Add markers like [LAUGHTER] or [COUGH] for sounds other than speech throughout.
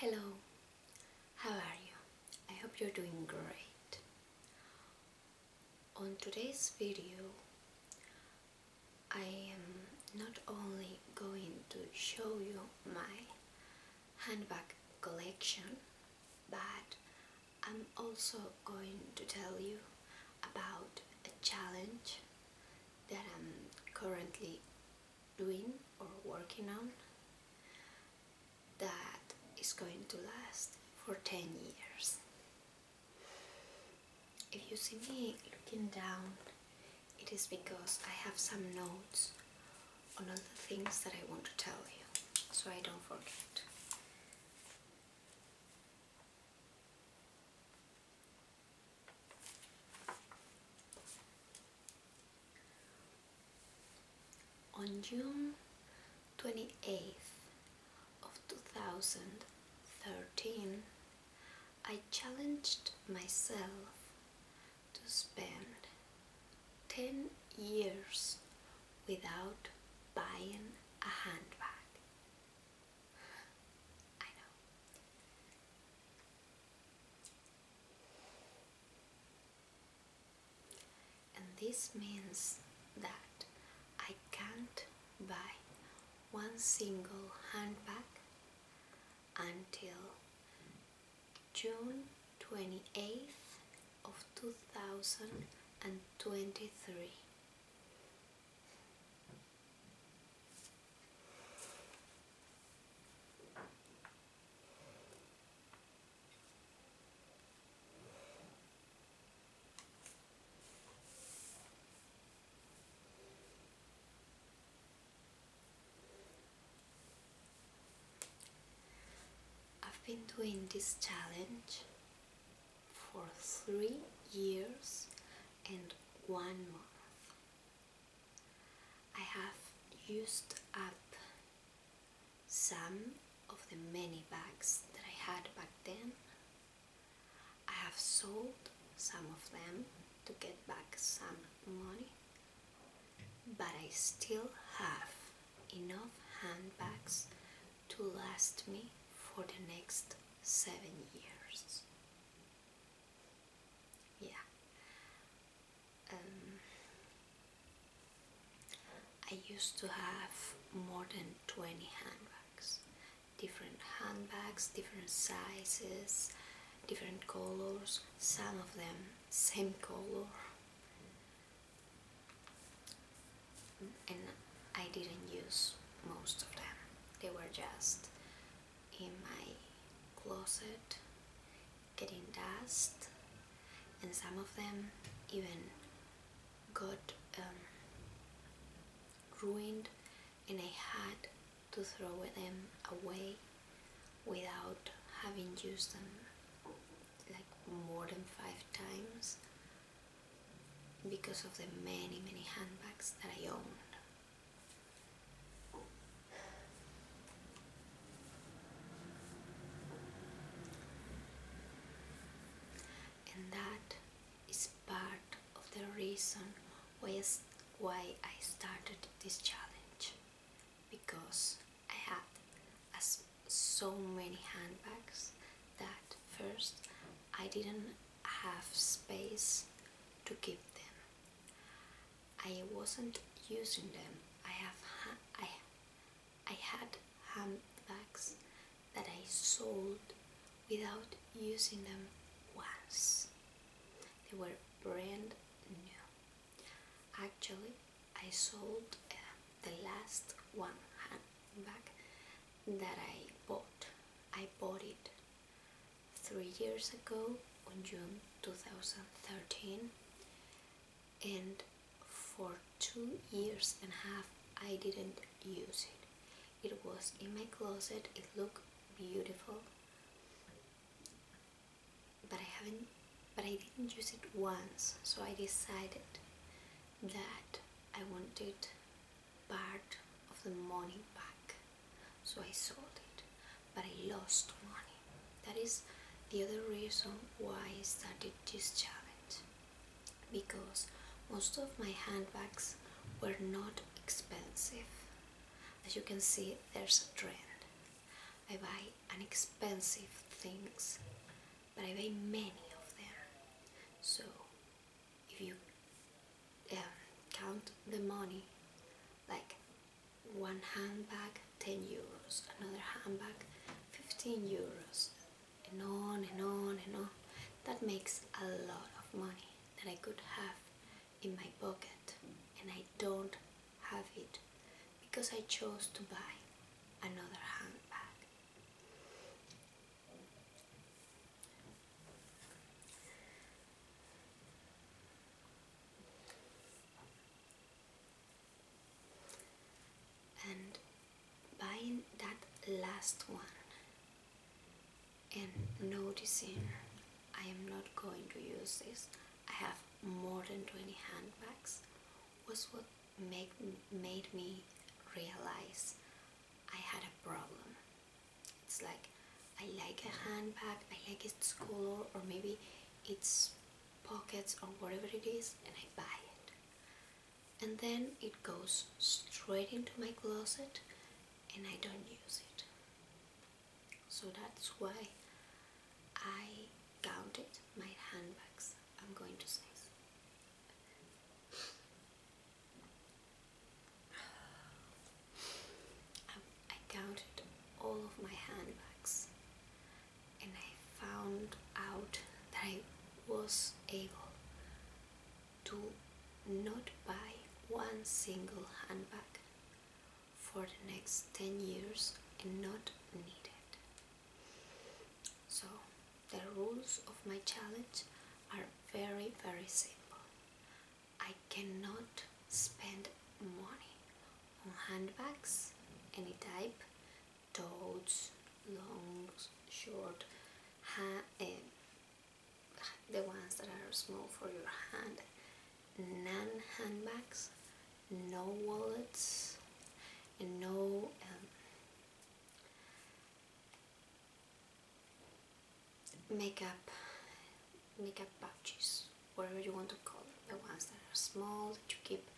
Hello, how are you? I hope you're doing great. On today's video, I am not only going to show you my handbag collection, but I'm also going to tell you about a challenge that I'm currently doing or working on that is going to last for 10 years. If you see me looking down, it is because I have some notes on all the things that I want to tell you, so I don't forget. On June 28th of 2013, I challenged myself to spend 10 years without buying a handbag. And this means that I can't buy one single handbag until June 28th of 2023. I've been doing this challenge for three years and one month. I have used up some of the many bags that I had back then. I have sold some of them to get back some money, but I still have enough handbags to last me for the next seven years yeah um, I used to have more than 20 handbags different handbags different sizes different colors some of them same color and I didn't use most of them they were just in my closet getting dust and some of them even got um, ruined and I had to throw them away without having used them like more than five times because of the many many handbags that I owned. And that is part of the reason why I started this challenge because I had as so many handbags that first I didn't have space to keep them I wasn't using them. I have I I had handbags that I sold without using them once. They were brand new. Actually, I sold uh, the last one handbag that I bought. I bought it three years ago on June 2013 and for two years and a half I didn't use it. It was in my closet, it looked beautiful but I haven't but I didn't use it once so I decided that I wanted part of the money back so I sold it, but I lost money. That is the other reason why I started this challenge because most of my handbags were not expensive. As you can see, there's a trend. I buy inexpensive things, but I buy many of them. So if you um, count the money like one handbag 10 euros, another handbag 15 euros, and on and on and on. That makes a lot of money that I could have in my pocket and I don't have it because I chose to buy another handbag and buying that last one and noticing I am not going to use this I have more than 20 handbags was what make, made me realize I had a problem it's like I like a handbag, I like its color or maybe its pockets or whatever it is and I buy it. And then it goes straight into my closet and I don't use it. So that's why I counted my handbags, I'm going to say. Um, I, counted all of my handbags and I found out that I was able to not buy one single handbag for the next 10 years and not need it. So the rules of my challenge are very very simple. I cannot spend money on handbags, any type, totes, long, short, eh, the ones that are small for your hand, none handbags, no wallets, and no um, makeup makeup pouches, whatever you want to call them, the ones that are small that you keep,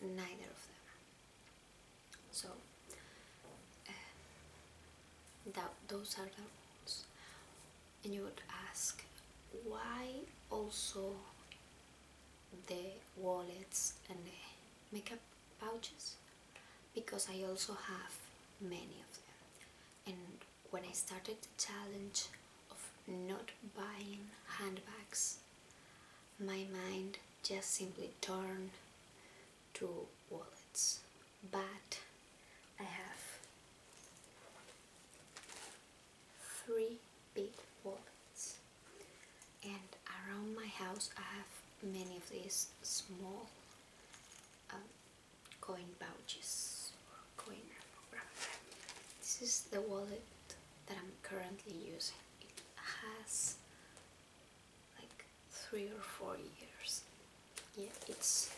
neither of them. So uh, that those are the rules. And you would ask why also the wallets and the makeup pouches because I also have many of them and when I started the challenge of not buying handbags, my mind just simply turned to wallets. But I have three big wallets, and around my house I have many of these small. Um, coin pouches This is the wallet that I'm currently using. It has like three or four years. Yeah, it's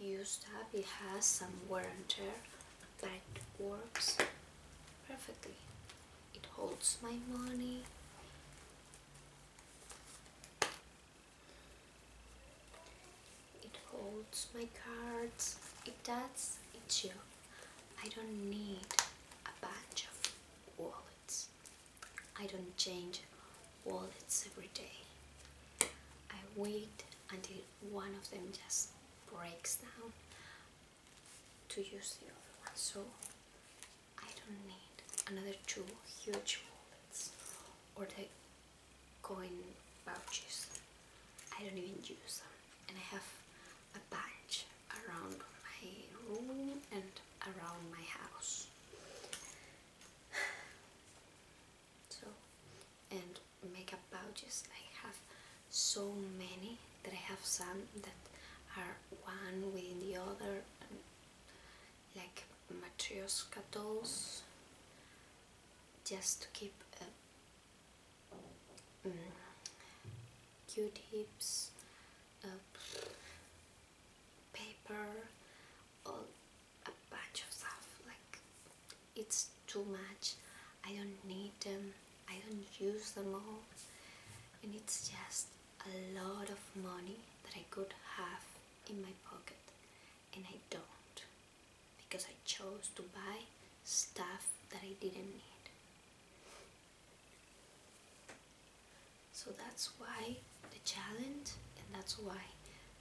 used up, it has some wear and tear, but it works perfectly. It holds my money. It holds my cards. It does it's you, I don't need a bunch of wallets. I don't change wallets every day. I wait until one of them just breaks down to use the other one. So I don't need another two huge wallets or the coin pouches. I don't even use them and I have a bunch around my room and around my house. [SIGHS] So, and makeup pouches, I have so many that I have some that are one within the other, like Matryoshka dolls just to keep uh, um, mm, q-tips, uh, paper, all a bunch of stuff like it's too much I don't need them I don't use them all and it's just a lot of money that I could have in my pocket and I don't because I chose to buy stuff that I didn't need. So that's why the challenge and that's why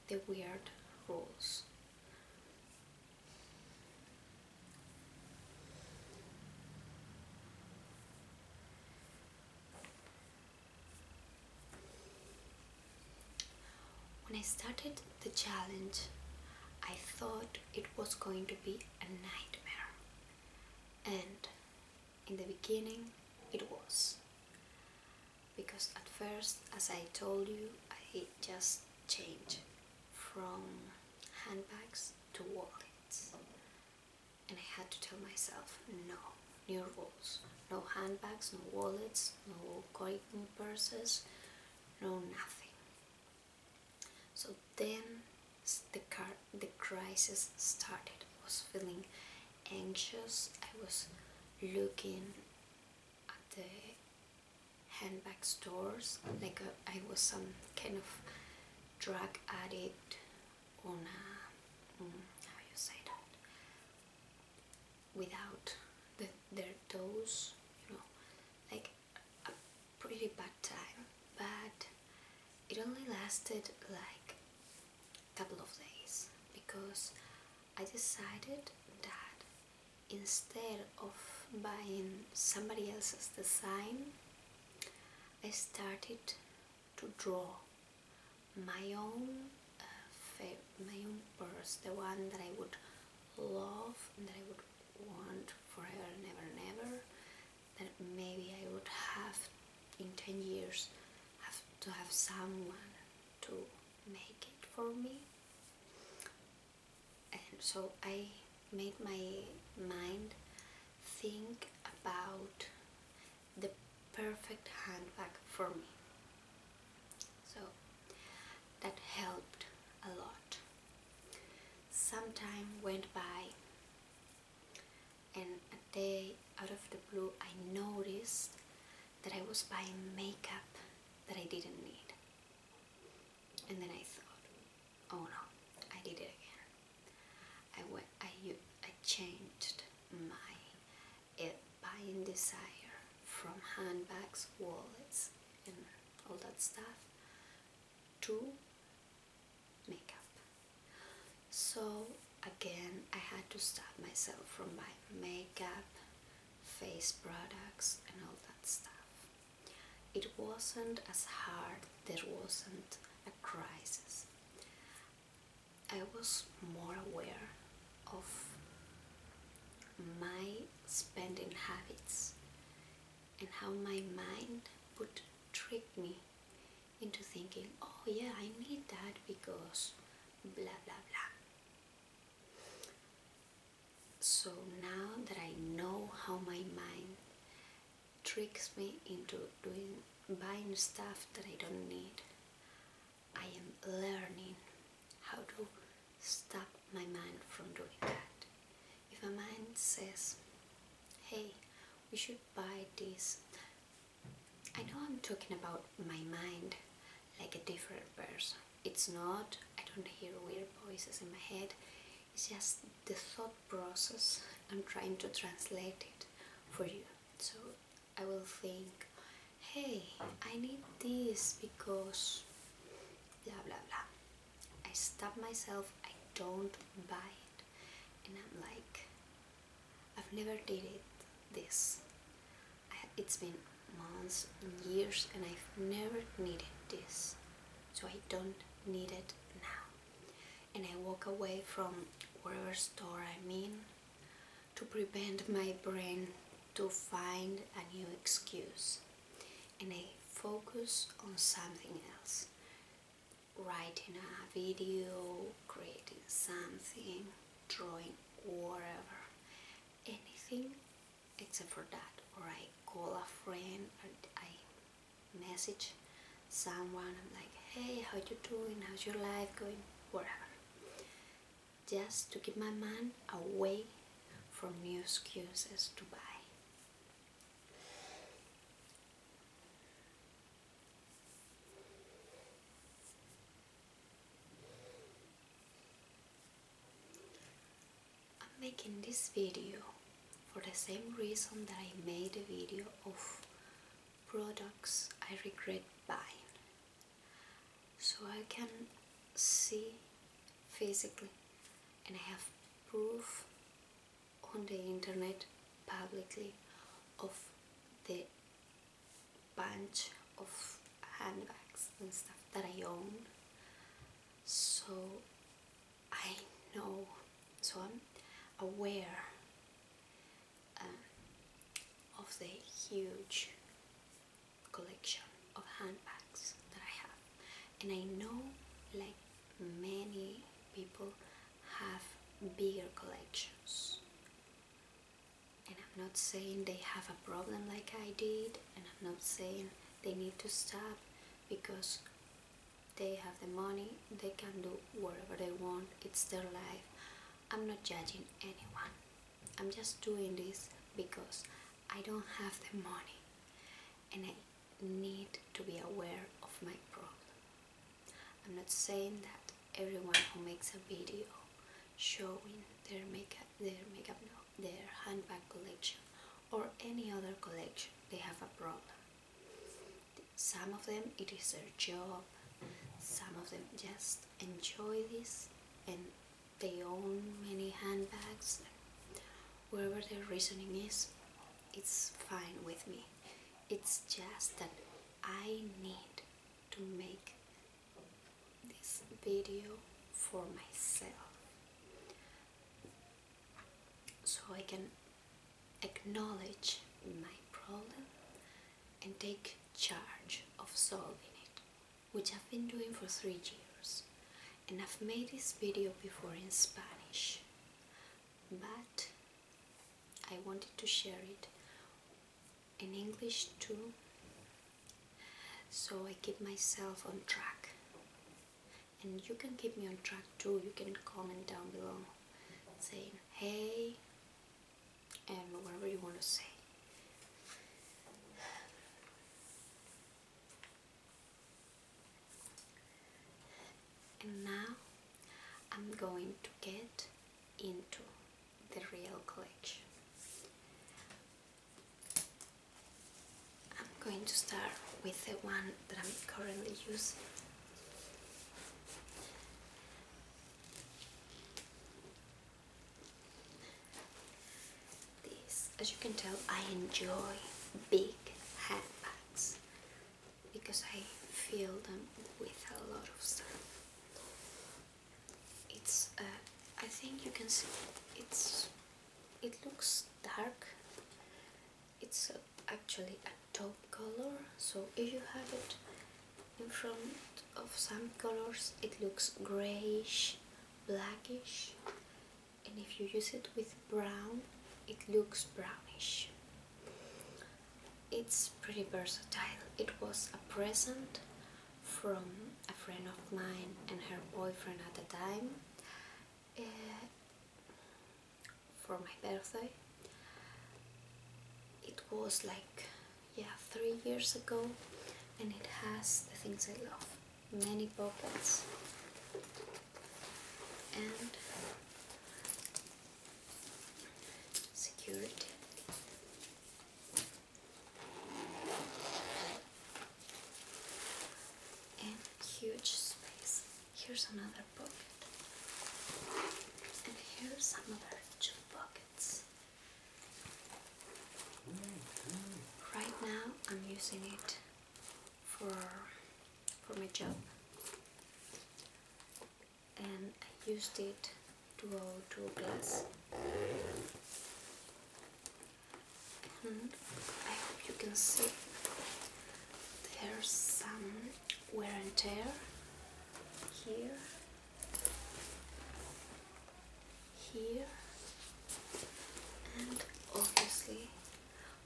the weird rules. When I started the challenge, I thought it was going to be a nightmare. And in the beginning, it was. Because at first, as I told you, I just changed from handbags to wallets. And I had to tell myself, no, new rules. No handbags, no wallets, no coin purses, no nothing. So then the, car the crisis started. I was feeling anxious. I was looking at the handbag stores like a, uh, I was some kind of drug addict on mm, how you say that without their toes, you know, like a pretty bad time, but it only lasted like a couple of days because I decided that instead of buying somebody else's design, I started to draw my own uh, my own purse, the one that I would love and that I would want forever and ever and ever, that maybe I would have in 10 years have to have someone to make it for me. And so I made my mind think about the perfect handbag for me. So that helped a lot. Some time went by, and a day out of the blue, I noticed that I was buying makeup that I didn't need. And then I thought, oh no, I did it again. I, went, I, I changed my buying desire from handbags, wallets, and all that stuff to makeup. So again, I had to stop myself from my makeup, face products, and all that stuff. It wasn't as hard, there wasn't a crisis. I was more aware of my spending habits and how my mind would trick me into thinking, oh yeah, I need that because blah blah blah. So now that I know how my mind tricks me into doing buying stuff that I don't need, I am learning how to stop my mind from doing that. If a mind says, hey, we should buy this, I know I'm talking about my mind like a different person. It's not, I don't hear weird voices in my head, it's just the thought process. I'm trying to translate it for you. So I will think, hey, I need this because blah blah blah. I stop myself, I don't buy it, and I'm like, I've never did it this. it's been months years, and I've never needed this, so I don't need it now. And I walk away from whatever store I'm in to prevent my brain to find a new excuse and I focus on something else writing a video, creating something, drawing, whatever anything except for that or I call a friend or I message someone I'm like hey how you doing how's your life going whatever just to keep my mind away from new excuses to buy. I'm making this video for the same reason that I made a video of products I regret buying so I can see physically and I have proof on the internet publicly of the bunch of handbags and stuff that I own so I know so I'm aware um, of the huge collection of handbags that I have and I know like many people have bigger collections and I'm not saying they have a problem like I did and I'm not saying they need to stop because they have the money, they can do whatever they want, it's their life. I'm not judging anyone. I'm just doing this because I don't have the money and I need to be aware of my problem. I'm not saying that everyone who makes a video showing their makeup, their makeup, no, their handbag collection or any other collection, they have a problem. Some of them, it is their job. Some of them just enjoy this and they own many handbags whatever their reasoning is it's fine with me it's just that I need to make this video for myself so I can acknowledge my problem and take charge of solving it which I've been doing for three years and I've made this video before in Spanish but I wanted to share it in English too so I keep myself on track and you can keep me on track too you can comment down below saying hey and whatever you want to say. And now I'm going to get into the real collection. I'm going to start with the one that I'm currently using as you can tell, I enjoy big handbags because I fill them with a lot of stuff. It's, uh, I think you can see, it's, it looks dark. It's uh, actually a top color, so if you have it in front of some colors it looks grayish blackish and if you use it with brown it looks brownish it's pretty versatile it was a present from a friend of mine and her boyfriend at the time eh, for my birthday it was like yeah three years ago and it has the things I love many pockets and security and huge space here's another pocket and here's another two pockets Right now, I'm using it for for my job, and I used it to go glass. And I hope you can see there's some wear and tear here here and obviously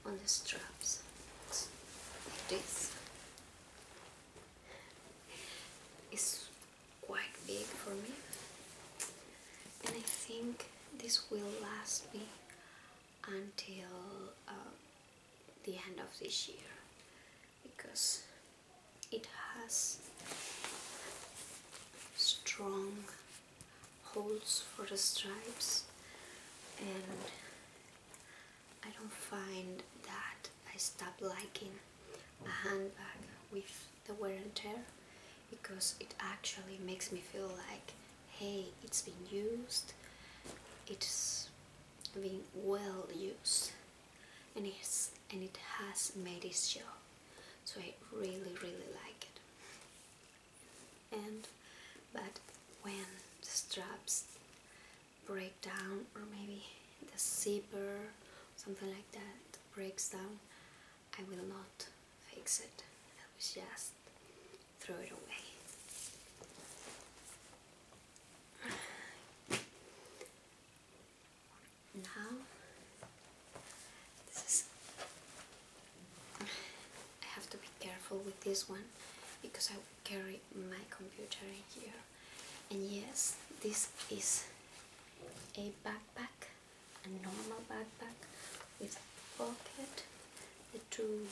on the straps like this is quite big for me and I think this will last me until uh, the end of this year because it has strong holds for the stripes and I don't find that I stop liking a handbag with the wear and tear because it actually makes me feel like hey it's been used it's been well used and it's and it has made its job so I really really like it and but when the straps break down or maybe the zipper something like that breaks down I will not fix it I will just throw it away now this is I have to be careful with this one because I carry my computer in here and yes this is a backpack a normal backpack with pocket the two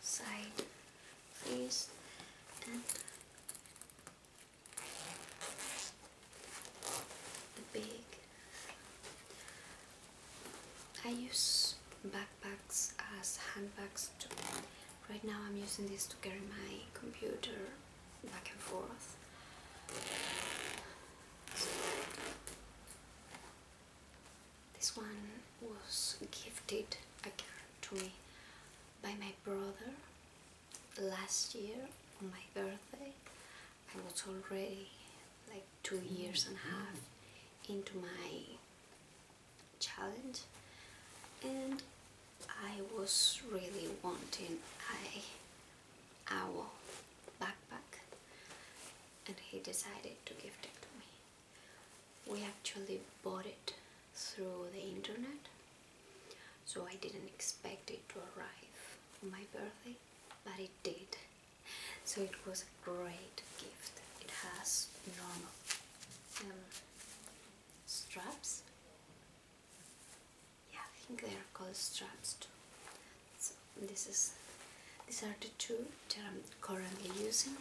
side things and the big I use backpacks as handbags too. Right now I'm using this to carry my computer back and forth. this one was gifted again to me by my brother last year on my birthday I was already like two years and a half into my challenge and I was really wanting a owl backpack and he decided to give it to me. We actually bought it through the internet so I didn't expect it to arrive for my birthday, but it did. So it was a great gift. It has normal um, straps. Yeah, I think they are called straps too. So this is these are the two that I'm currently using.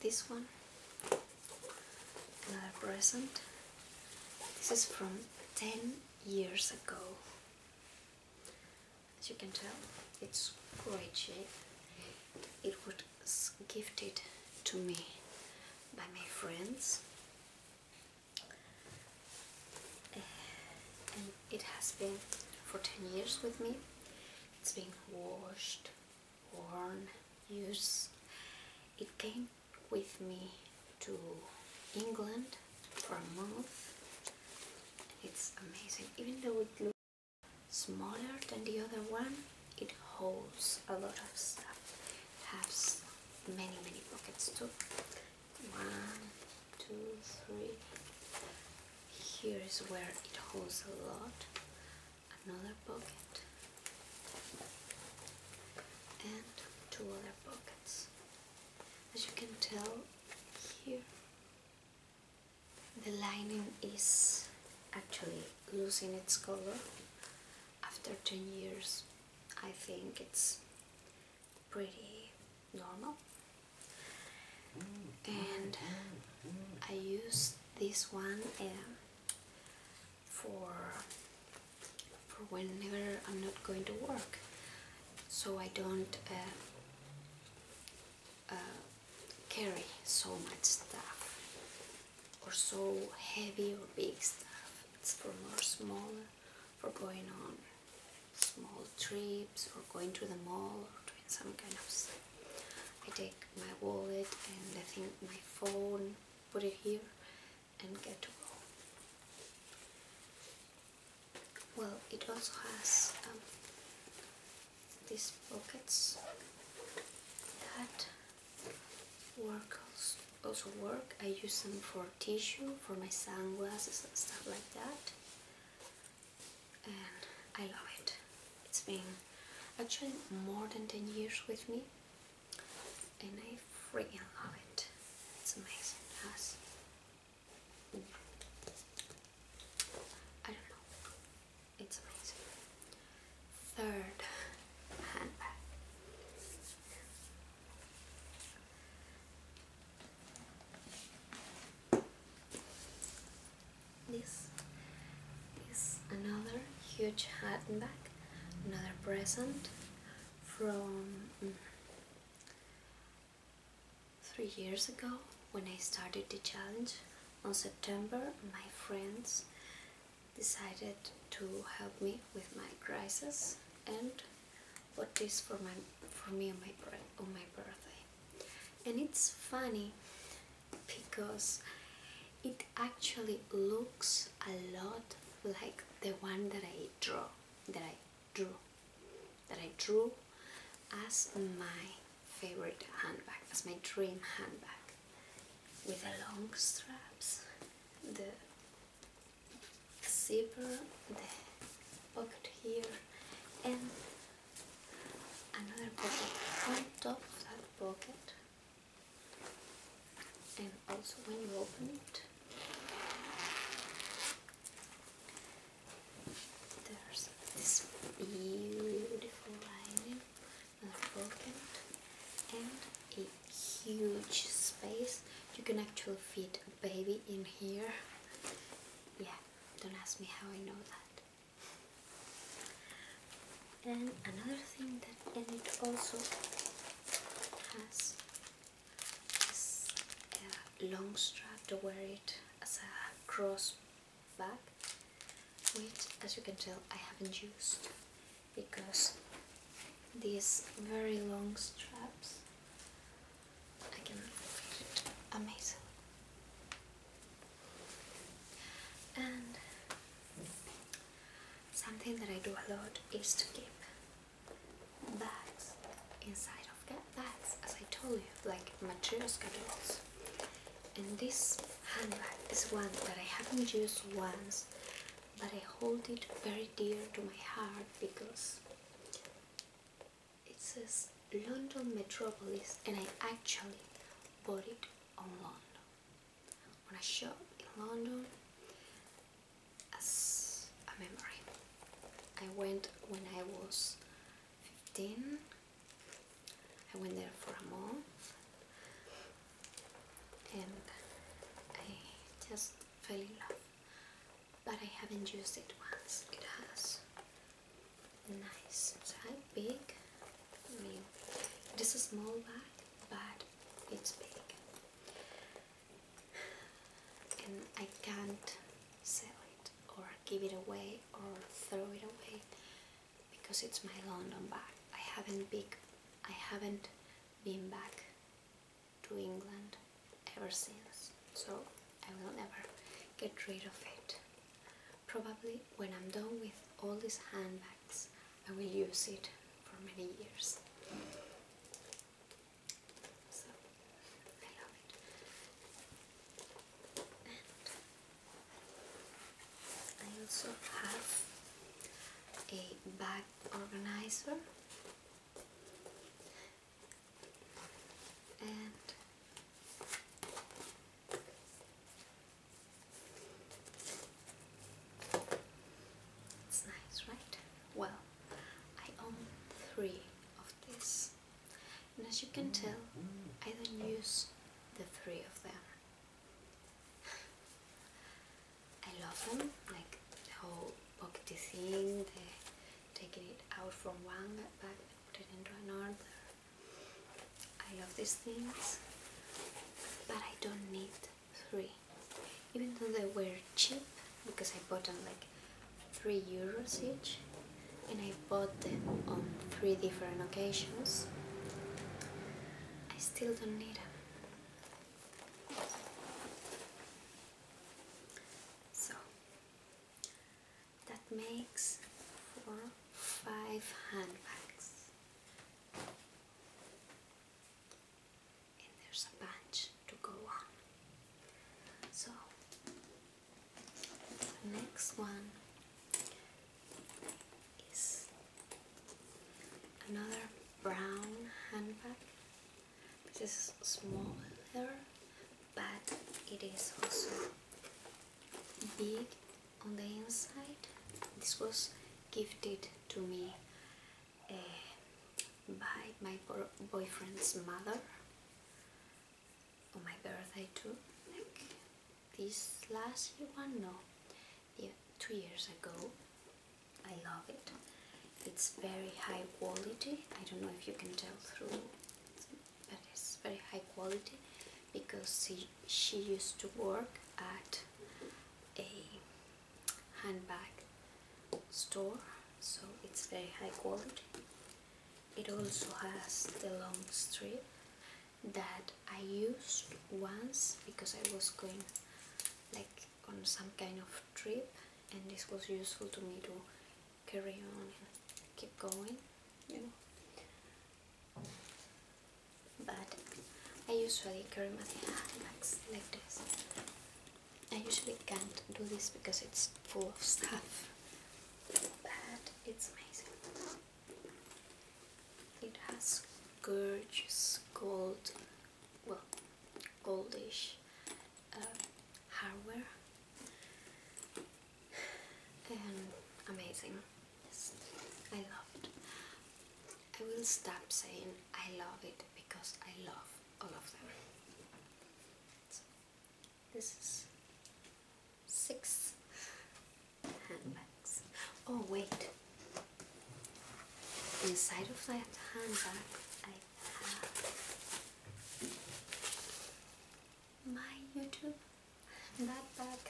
This one, another present. This is from 10 years ago. As you can tell, it's great shape. It was gifted to me by my friends. Eh, and it has been for 10 years with me it's been washed, worn, used. It came with me to England for a month. It's amazing. Even though it looks smaller than the other one, it holds a lot of stuff. has many, many pockets too. One, two, three. Here is where it holds a lot. Another pocket and two other pockets. As you can tell here, the lining is actually losing its color. After 10 years, I think it's pretty normal and I use this one um, for for whenever I'm not going to work so I don't uh, uh, carry so much stuff or so heavy or big stuff it's for more small for going on small trips or going to the mall or doing some kind of stuff. I take my wallet and I think my phone, put it here and get to go. Well, it also has um, these pockets that work also work. I use them for tissue, for my sunglasses and stuff like that and I love it. It's been actually more than 10 years with me and I freaking love it. It's amazing. Yes. I don't know. It's amazing. Third handbag. This is another huge hat and bag, another present from mm, three years ago when I started the challenge. On September, my friends decided to help me with my crisis and bought this for my for me on my on my birthday and it's funny because it actually looks a lot like the one that I draw that I drew that I drew as my favorite handbag as my dream handbag with the long straps the zipper the pocket here and another pocket on top of that pocket and also when you open it there's this beautiful lining another pocket and a huge space you can actually fit a baby in here yeah don't ask me how I know that and another thing that and it also has this long strap to wear it as a cross bag which as you can tell I haven't used because these very long straps Amazing. And something that I do a lot is to keep bags inside of bags, as I told you, like material schedules. And this handbag is one that I haven't used once, but I hold it very dear to my heart because it says London Metropolis and I actually bought it London, on a shop in London as a memory. I went when I was 15. I went there for a month and I just fell in love but I haven't used it once. It has nice so how big I mean this is a small bag but it's big and I can't sell it or give it away or throw it away because it's my London bag I haven't been back to England ever since so I will never get rid of it. Probably when I'm done with all these handbags, I will use it for many years. So I love it. I also have a bag organizer and it's nice, right? Well, I own three of these, and as you can tell, I don't use the three of them. [LAUGHS] I love them, like the whole pockety thing, the taking it out from one bag and put it into another, I love these things, but I don't need three. Even though they were cheap, because I bought them like 3 euros each, and I bought them on three different occasions, I still don't need them. So, that makes for five handbags and there's a bunch to go on so the next one is another brown handbag this is smaller but it is also big on the inside. This was gifted to me uh, by my boyfriend's mother on my birthday too. this last one, no, yeah, two years ago. I love it. It's very high quality. I don't know if you can tell through but it's very high quality because she, she used to work at a handbag store so it's very high quality it also has the long strip that I used once because I was going like on some kind of trip and this was useful to me to carry on keep going, you know. But I usually carry my handbags like this. I usually can't do this because it's full of stuff, but it's amazing. It has gorgeous gold, well, goldish uh, hardware amazing. I love it. I will stop saying I love it because I love all of them. this is six handbags. Oh, wait. Inside of that handbag, I have my YouTube backpack.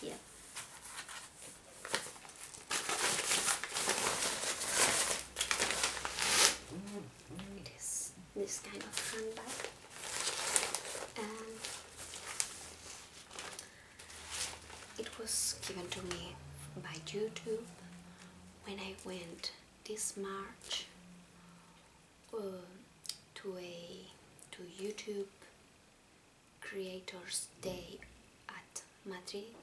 Yeah. It is this kind of handbag. And it was given to me by YouTube when I went this March uh, to a to YouTube Creators Day at Madrid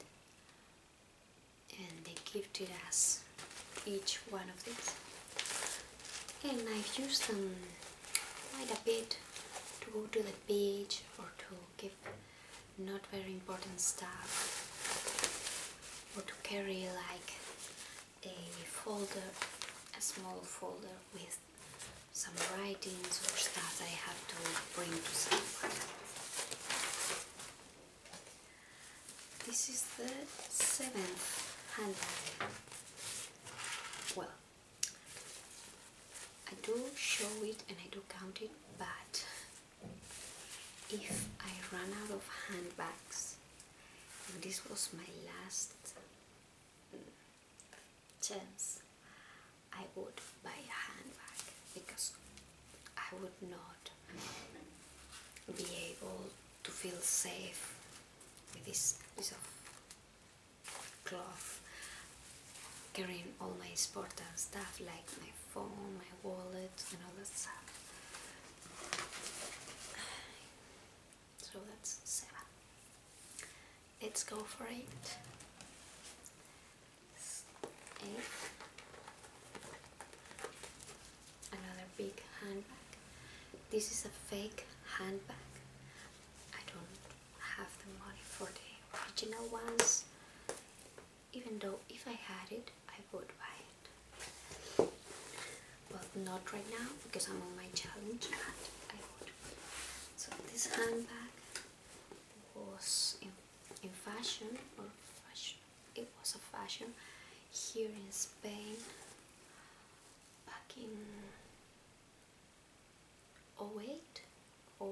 and they gifted us each one of these and I've used them quite a bit to go to the beach or to keep not very important stuff or to carry like a folder, a small folder with some writings or stuff I have to bring to someone. This is the seventh handbag. Well, I do show it and I do count it, but if I run out of handbags this was my last mm, chance I would buy a handbag because I would not be able to feel safe with this piece of cloth carrying all my sport and stuff like my phone, my wallet and all that stuff so that's 7. Let's go for 8. 8. Another big handbag. This is a fake handbag. I don't have the money for the original ones. Even though if I had it, I would buy it but not right now because I'm on my challenge So this handbag was in, in fashion or fashion, it was a fashion here in Spain back in 08, 09,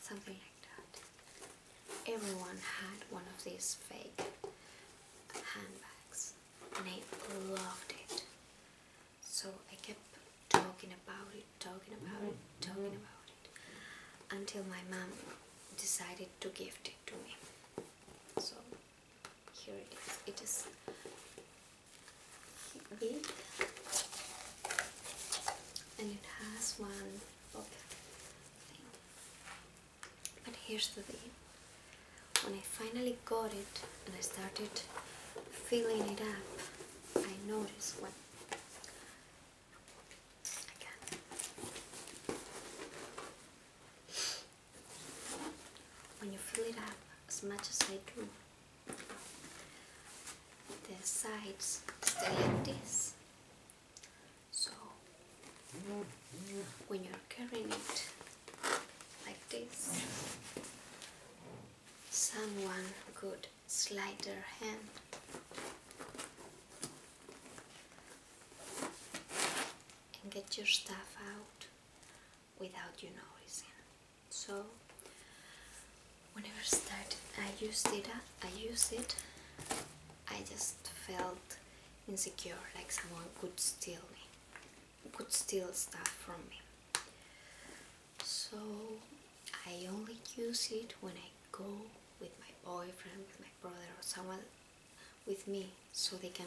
something like that. Everyone had one of these fake handbags and I loved it. So I kept talking about it, talking about it, mm-hmm. talking mm-hmm. about it until my mom decided to gift it to me. So here it is. It is big and it has one pocket but here's the thing when I finally got it and I started filling it up, I noticed When you fill it up as much as I do, the sides stay like this. So when you're carrying it like this someone could slide their hand and get your stuff out without you noticing so whenever I started I used it uh, I used it I just felt insecure like someone could steal me would steal stuff from me. So I only use it when I go with my boyfriend, with my brother, or someone with me so they can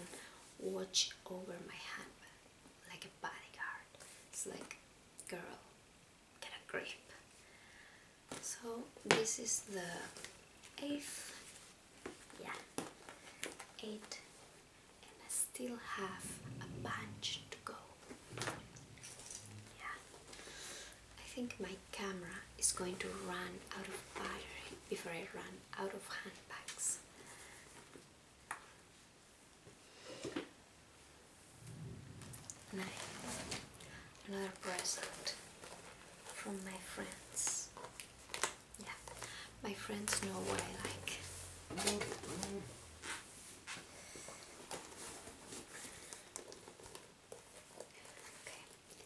watch over my handbag like a bodyguard. It's like, girl, get a grip. So this is the eighth yeah eight and I still have a bunch to go yeah I think my camera is going to run out of battery before I run out of handbags Nine. Another present from my friends. Yeah, my friends know what I like. Okay,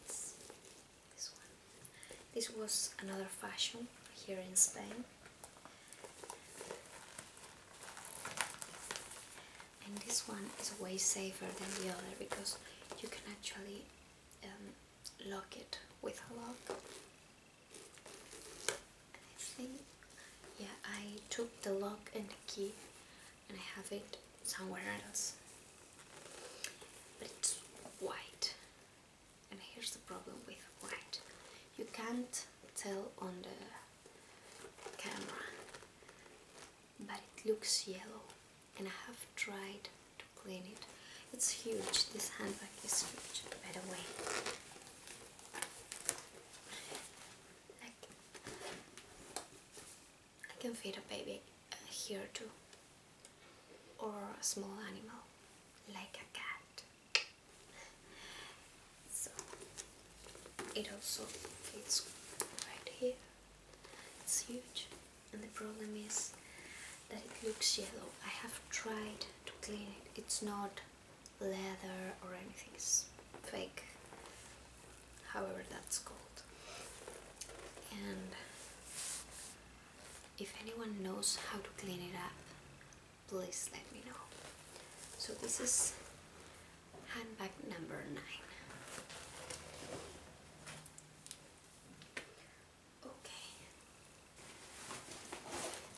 it's this one. This was another fashion here in Spain. And this one is way safer than the other because you can actually um, lock it with a lock. I think, yeah, I took the lock and the key and I have it somewhere else. But it's white. And here's the problem with white. You can't tell on the camera, but it looks yellow and I have tried to clean it. It's huge, this handbag is huge, by the way. I can, feed a baby uh, here too, or a small animal, like a cat. So, it also fits right here, it's huge and the problem is that it looks yellow. I have tried to clean it. It's not leather or anything. It's fake. However, that's called. And if anyone knows how to clean it up, please let me know. So this is handbag number nine. Okay.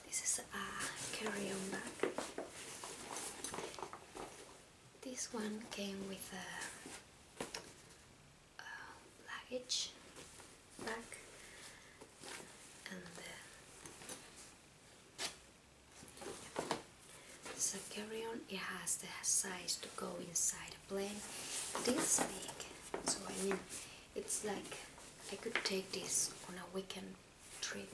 This is a carry-on bag. This one came with a, luggage bag and uh, carry-on. It has the size to go inside plane this big so I mean it's like I could take this on a weekend trip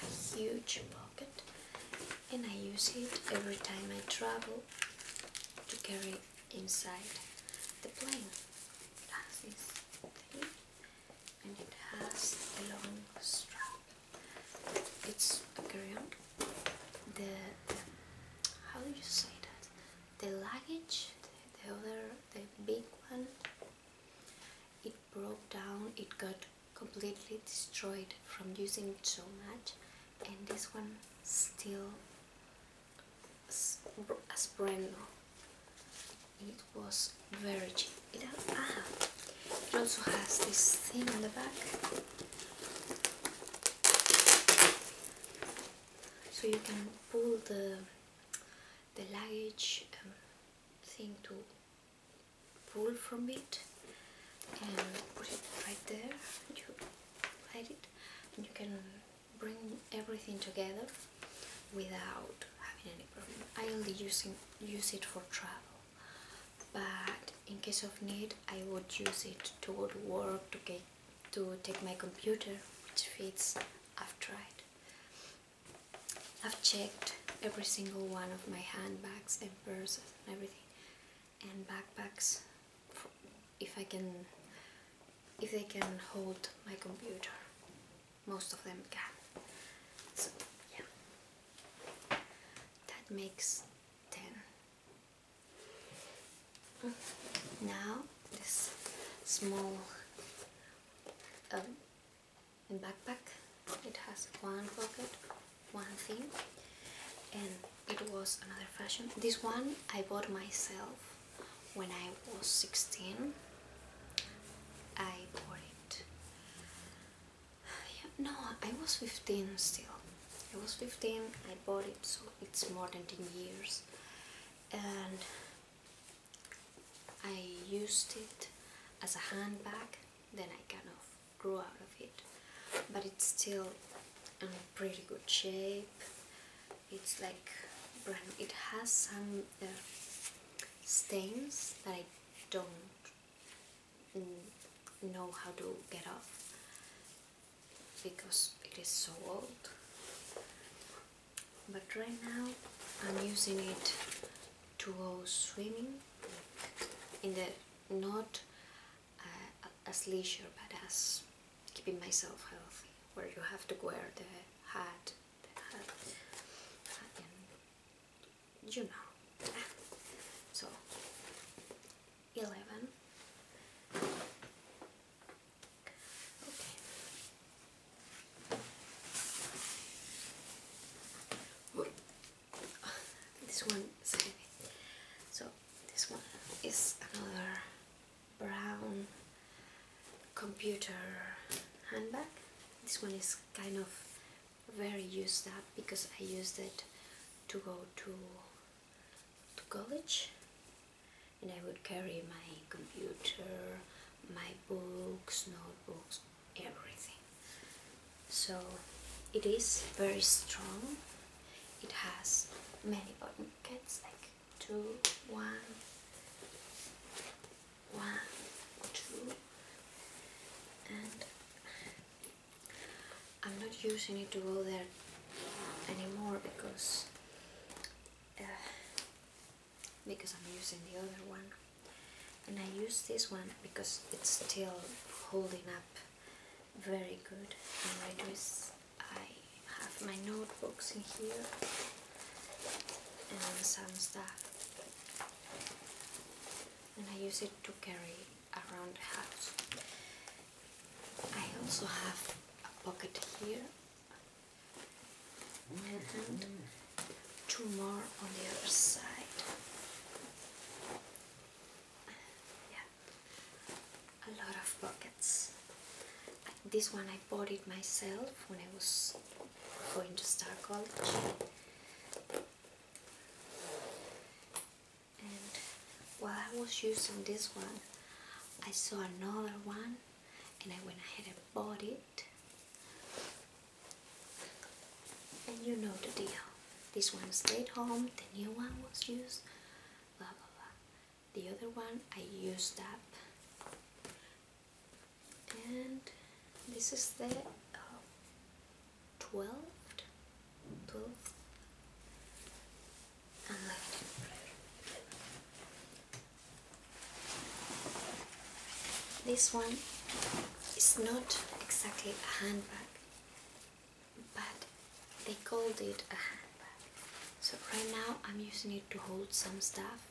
a huge pocket and I use it every time I travel to carry inside the plane and it has a long strap. It's a carry-on. The, how do you say that? The luggage, the, the other, the big one. It broke down. It got completely destroyed from using it so much, and this one still as brand new. It was very cheap. Ah. It, also has this thing on the back. So you can pull the, the luggage um, thing to pull from it and put it right there. You hide it and you can bring everything together without having any problem. I only using, use it for travel but in case of need I would use it to go to work to get to take my computer which fits I've tried I've checked every single one of my handbags and purses and everything and backpacks if I can if they can hold my computer most of them can so yeah that makes 10. Now this small um, backpack, it has one pocket, one thing and it was another fashion. This one I bought myself when I was 16. I bought it [SIGHS] no i was 15 still i was 15 i bought it so it's more than 10 years and i used it as a handbag then i kind of grew out of it but it's still in pretty good shape it's like brand it has some uh, stains that i don't know how to get off because it is so old but right now I'm using it to go swimming in the not uh, as leisure but as keeping myself healthy where you have to wear the hat, you So, 11. Okay. This one So, this one is another brown computer handbag. This one is kind of very used up because I used it to go to, to college and I would carry my computer, my books, notebooks, everything. So it is very strong. It has many pockets, like two, one, one, two, I'm not using it to go there anymore because uh, because I'm using the other one and I use this one because it's still holding up very good and what I do is I have my notebooks in here and some stuff and I use it to carry around the house. I also have a pocket here mm-hmm. and two more on the other side. Yeah, a lot of pockets. This one I bought it myself when I was going to start college while I was using this one I saw another one and I went ahead and bought it and you know the deal this one stayed home the new one was used blah blah blah the other one I used up and this is the oh, 12th, and This one is not exactly a handbag, but they called it a handbag. So right now I'm using it to hold some stuff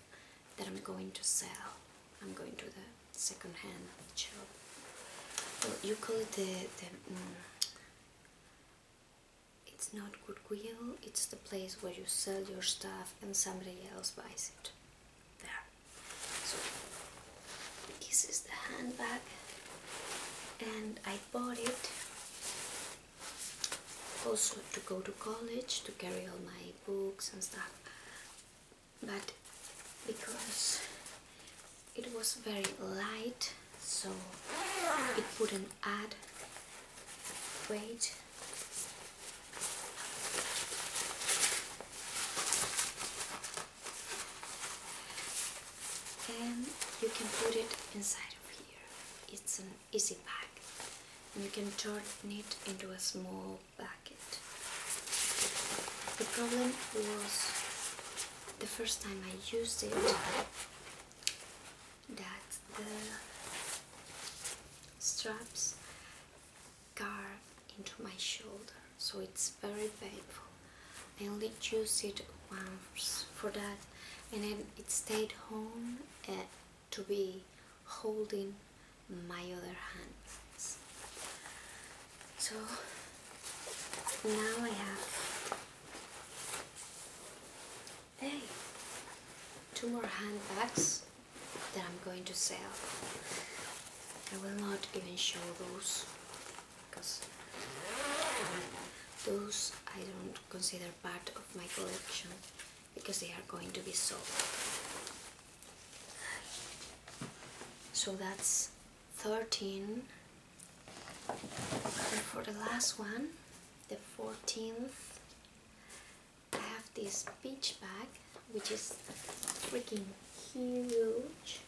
that I'm going to sell. I'm going to that second-hand job. you call it the... the mm, it's not Goodwill, it's the place where you sell your stuff and somebody else buys it. There. So, this is the handbag and I bought it also to go to college, to carry all my books and stuff but because it was very light so it wouldn't add weight and you can put it inside of here it's an easy bag and you can turn it into a small packet. The problem was the first time I used it that the straps carve into my shoulder, so it's very painful. I only used it once for that, and then it stayed home uh, to be holding my other hands. So now I have hey, two more handbags that I'm going to sell. I will not even show those because those I don't consider part of my collection because they are going to be sold so that's 13 and for the last one the 14th I have this beach bag which is freaking huge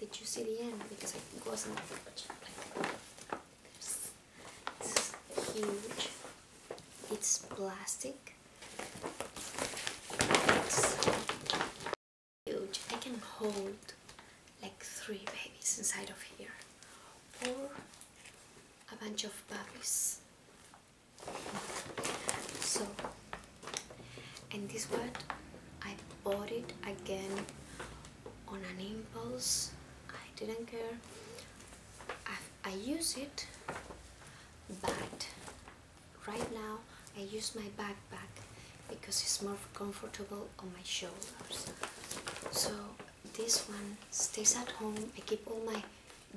did you see the end because it wasn't like this is huge it's plastic huge. I can hold like three babies inside of here or a bunch of puppies. So, and this what I bought it again on an impulse. I didn't care. I, I use it, but right now I use my backpack because it's more comfortable on my shoulders so this one stays at home I keep all my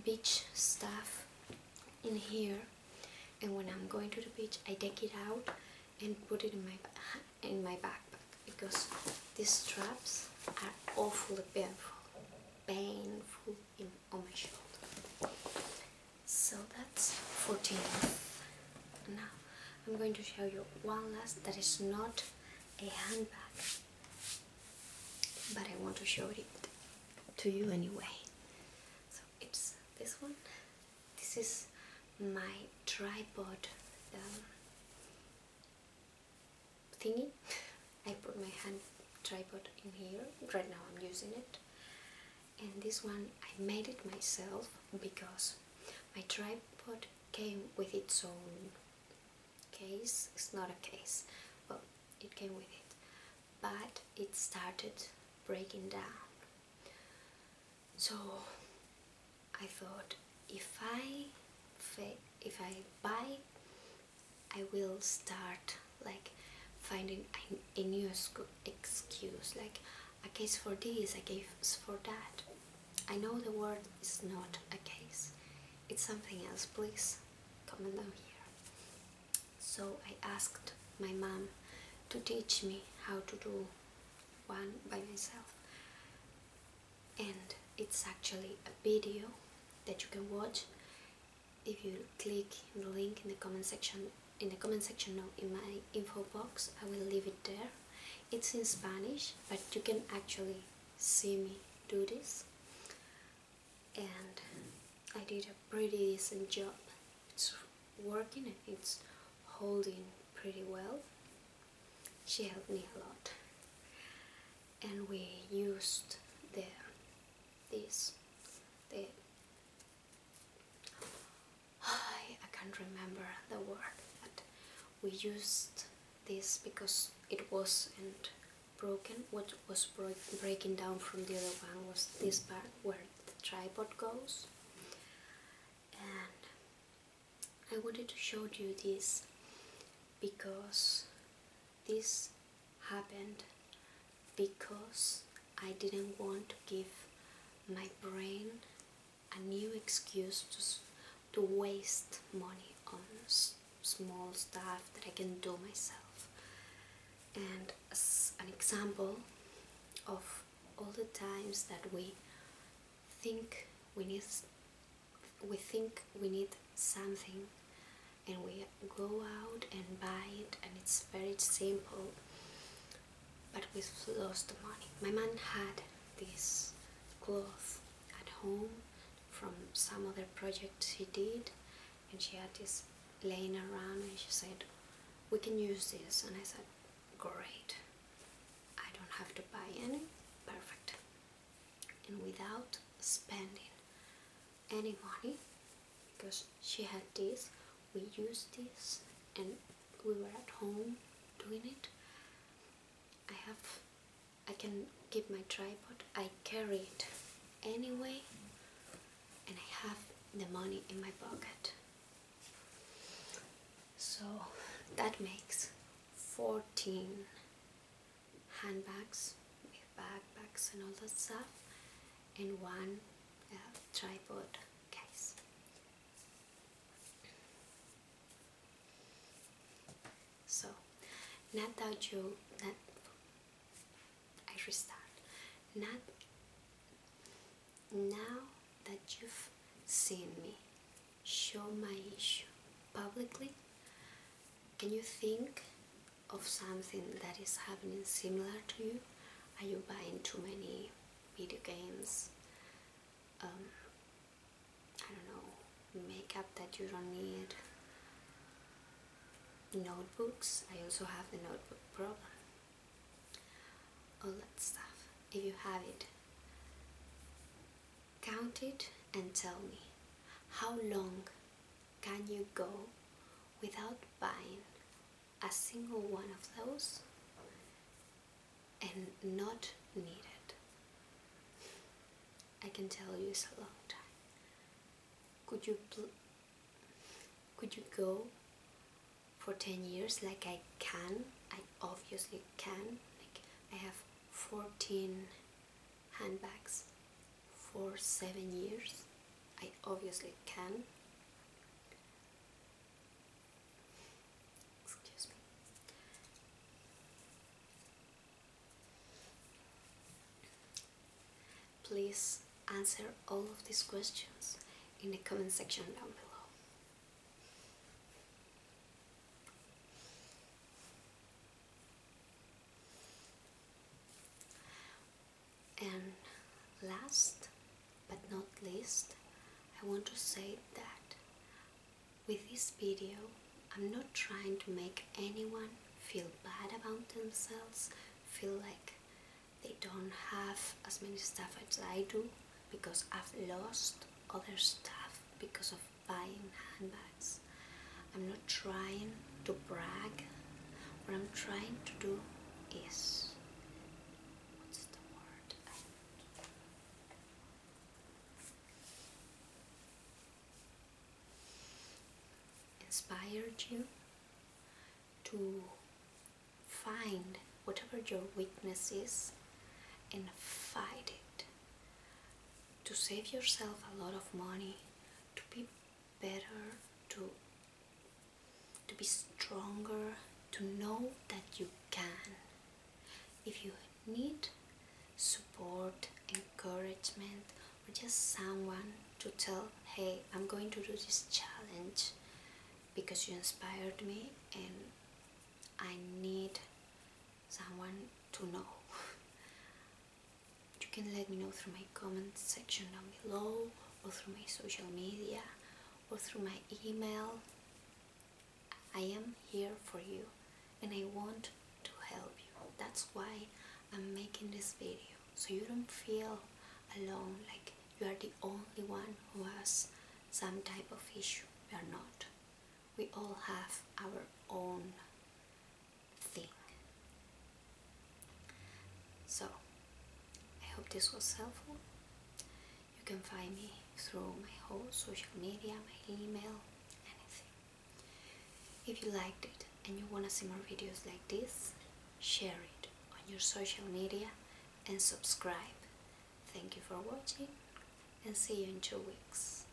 beach stuff in here and when I'm going to the beach I take it out and put it in my in my backpack because these straps are awfully painful painful so that's 14. Now I'm going to show you one last that is not a handbag, but I want to show it to you anyway. So it's this one. This is my tripod um, thingy. [LAUGHS] I put my hand tripod in here. Right now I'm using it and this one I made it myself because my tripod came with its own case, it's not a case, but it came with it, but it started breaking down. So I thought if I if I buy I will start like finding a, new excuse like a case for this, a case for that. I know the word is not a case, it's something else. Please comment down here. So I asked my mom to teach me how to do one by myself, and it's actually a video that you can watch if you click the link in the comment section in the comment section no, in my info box I will leave it there it's in Spanish but you can actually see me do this and I did a pretty decent job it's working and it's holding pretty well she helped me a lot and we used the this, I, can't remember the word, but we used this because it wasn't broken. What was breaking down from the other one was this part where the tripod goes. And I wanted to show you this because this happened because I didn't want to give my brain a new excuse to, to waste money on small stuff that I can do myself. And as an example of all the times that we think we need we think we need something and we go out and buy it and it's very simple but we lost the money. My man had this cloth at home from some other project she did and she had this laying around and she said we can use this and I said great I don't have to buy any perfect and without spending any money because she had this we used this and we were at home doing it I have I can keep my tripod I carry it anyway and I have the money in my pocket so that makes 14 handbags backpacks and all that stuff in one uh, tripod case. So, not that you, I restart, not now that you've seen me show my issue publicly, can you think of something that is happening similar to you? Are you buying too many video games? Um, I don't know, makeup that you don't need? Notebooks? I also have the notebook problem. All that stuff. If you have it, count it and tell me how long can you go without buying a single one of those and not need it. I can tell you it's a long time. Could you could you go for 10 years like I can? I obviously can. Like I have 14 handbags for seven years. I obviously can. Please answer all of these questions in the comment section down below. And last but not least, I want to say that with this video, I'm not trying to make anyone feel bad about themselves, feel like they don't have as many stuff as I do because I've lost other stuff because of buying handbags. I'm not trying to brag. What I'm trying to do is what's the word? Inspired you to find whatever your weakness is and fight it to save yourself a lot of money to be better to to be stronger to know that you can if you need support encouragement or just someone to tell hey i'm going to do this challenge because you inspired me and i need someone to know [LAUGHS] you can let me know through my comment section down below or through my social media or through my email I am here for you and I want to help you that's why I'm making this video so you don't feel alone like you are the only one who has some type of issue we are not we all have our own so, I hope this was helpful. You can find me through my whole social media, my email, anything. If you liked it and you want to see more videos like this, share it on your social media and subscribe. Thank you for watching and see you in two weeks.